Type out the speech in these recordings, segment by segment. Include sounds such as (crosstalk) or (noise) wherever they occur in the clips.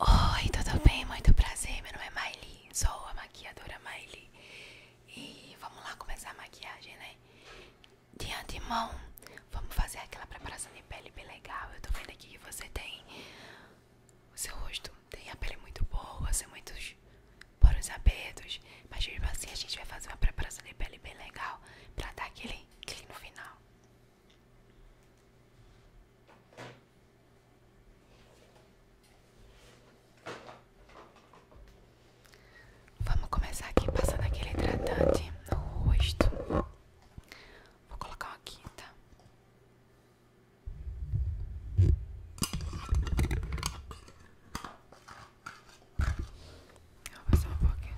Oi, tudo bem? Muito prazer. Meu nome é Miley, sou a maquiadora Miley. E vamos lá começar a maquiagem, né? De antemão, vamos fazer aquela preparação de pele bem legal. Eu tô vendo aqui que você tem o seu rosto, tem a pele muito boa, tem muitos poros abertos. Mas mesmo assim a gente vai fazer uma preparação de pele bem legal pra dar aquele clique no final. Vamos começar aqui passando aquele hidratante no rosto. Vou colocar uma quinta. Vou passar um pouquinho.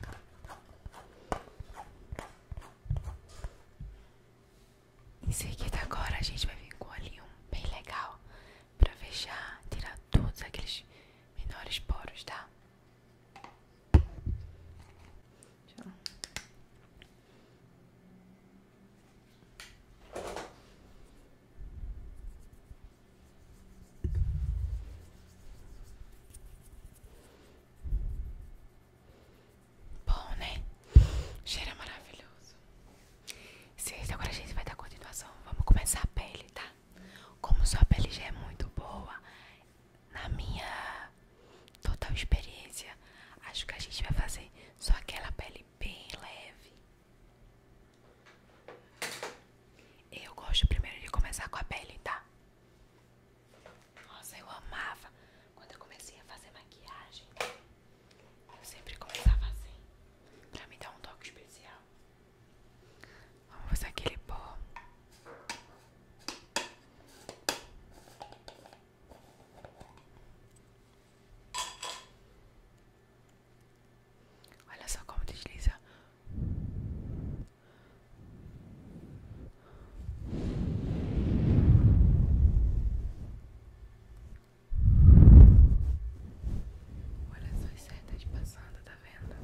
Em seguida agora a gente vai vir com ali um bem legal pra fechar, tirar todos aqueles menores poros, tá? Bom, né? Cheira maravilhoso. Sexta, agora a gente vai dar continuação. Vamos começar a pele, tá? Como sua pele já é muito boa, na minha total experiência, acho que a gente vai fazer só aquela pele bem leve. Eu gosto primeiro de começar com a pele, tá? Nossa, eu amava. Quando eu comecei a fazer maquiagem, eu sempre começava assim, pra me dar um toque especial. Vamos usar aquele pó. Olha só como desliza. Olha as setas passando, tá vendo?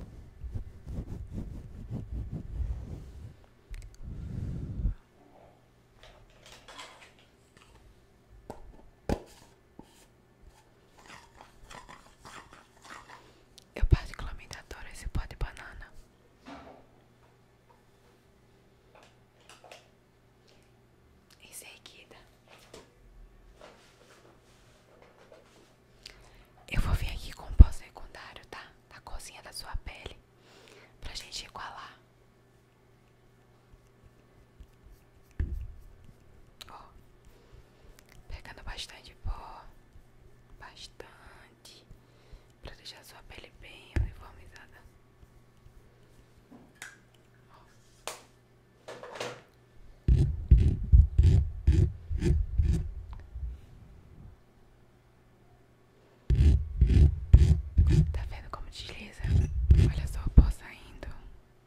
Eu particularmente adoro esse pó de banana. Em seguida, é eu vou vir aqui com o pó secundário, tá? Da cozinha da sua pele, pra gente igualar. Ó, Pegando bastante pó, bastante, para deixar sua pele bem uniformizada. Tá vendo como desliza? Olha só o pó saindo.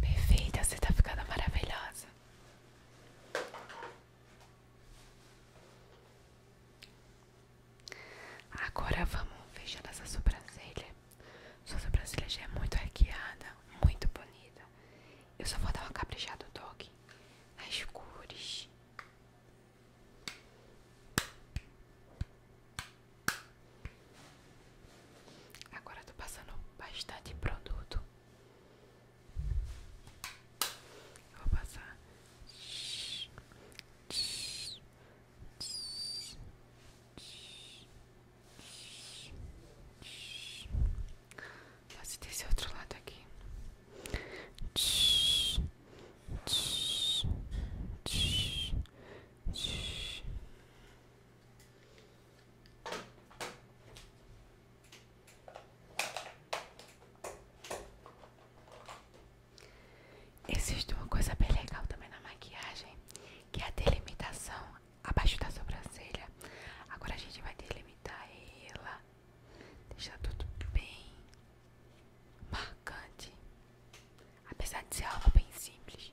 Perfeita, você tá ficando maravilhosa. Agora vamos fechando essa sobrancelha. Sua sobrancelha já é muito arqueada, muito bonita. Eu só vou dar uma caprichada do toque nas cores. Agora eu tô passando bastante produto. vou passar. Fazer desse outro lado aqui. Existe uma coisa bem legal também na maquiagem, que é a delimitação abaixo da sobrancelha. Agora a gente vai delimitar ela, deixar tudo bem marcante, apesar de ser algo bem simples.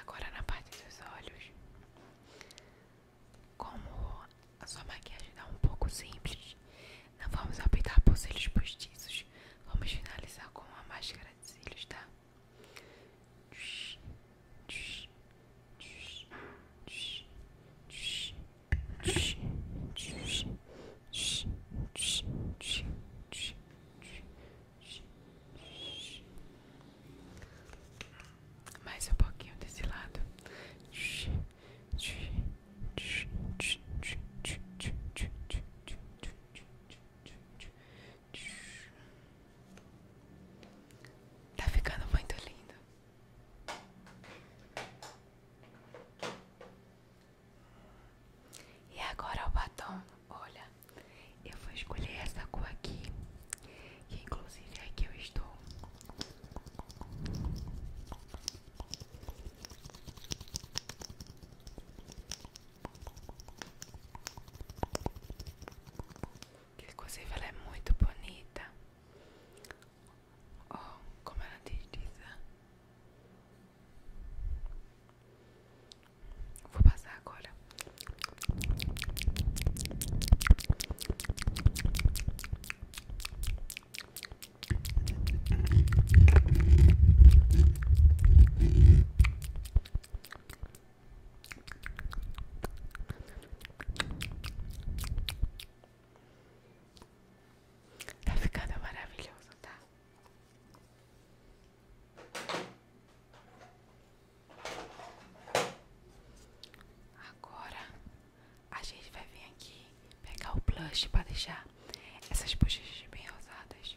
Agora na parte dos olhos, como a sua maquiagem está um pouco simples, não vamos optar por cílios postiços, vamos finalizar com a máscara de cílios, tá? Mais um pouquinho desse lado. Tá ficando muito lindo. E agora o batom, olha, eu vou escolher essa cor aqui, que inclusive é que eu estou. Que inclusive ela é muito bonita. Oh, como ela diz, diz né? Vou passar agora. Tá ficando maravilhoso, tá? Agora a gente vai vir aqui pegar o blush para deixar essas bochechas bem rosadas.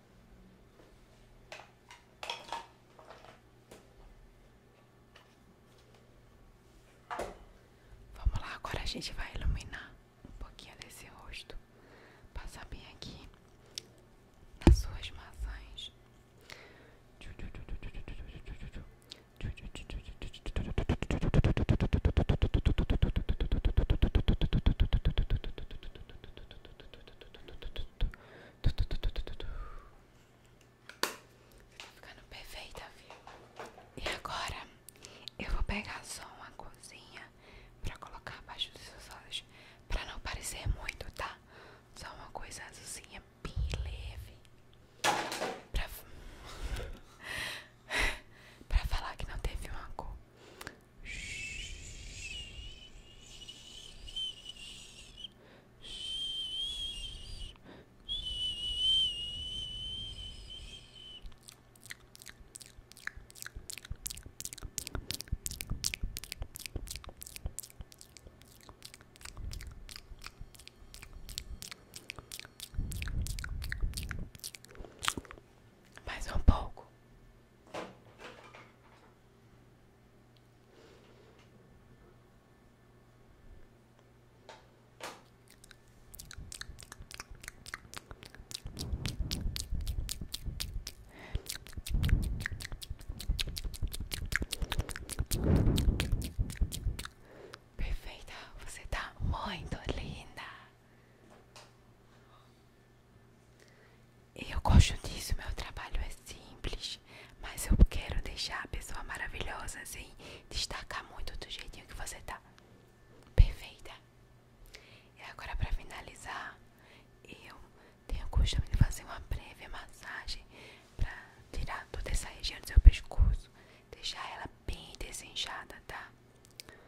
Vamos lá, agora a gente vai iluminar um pouquinho desse rosto. Passar bem aqui nas suas maçãs. Tá ficando perfeita, viu? E agora eu vou pegar só uma coisinha pra colocar abaixo dos seus olhos, pra não parecer muito, tá? Só uma coisa azulzinha bem leve. Pra, (laughs) pra falar que não teve uma cor. Mais um pouco. Perfeita, você está muito linda. Eu gosto disso, meu trabalho é simples, mas eu quero deixar a pessoa maravilhosa, assim, destacar muito do jeitinho que você tá. Perfeita. E agora para finalizar, eu tenho o costume de fazer uma breve massagem para tirar toda essa região do seu pescoço, deixar ela bem desenchada, tá?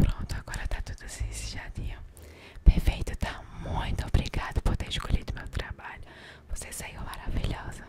Pronto, agora tá tudo ensejadinho. Perfeito, tá? Muito obrigado por ter escolhido meu trabalho. Você saiu maravilhosa.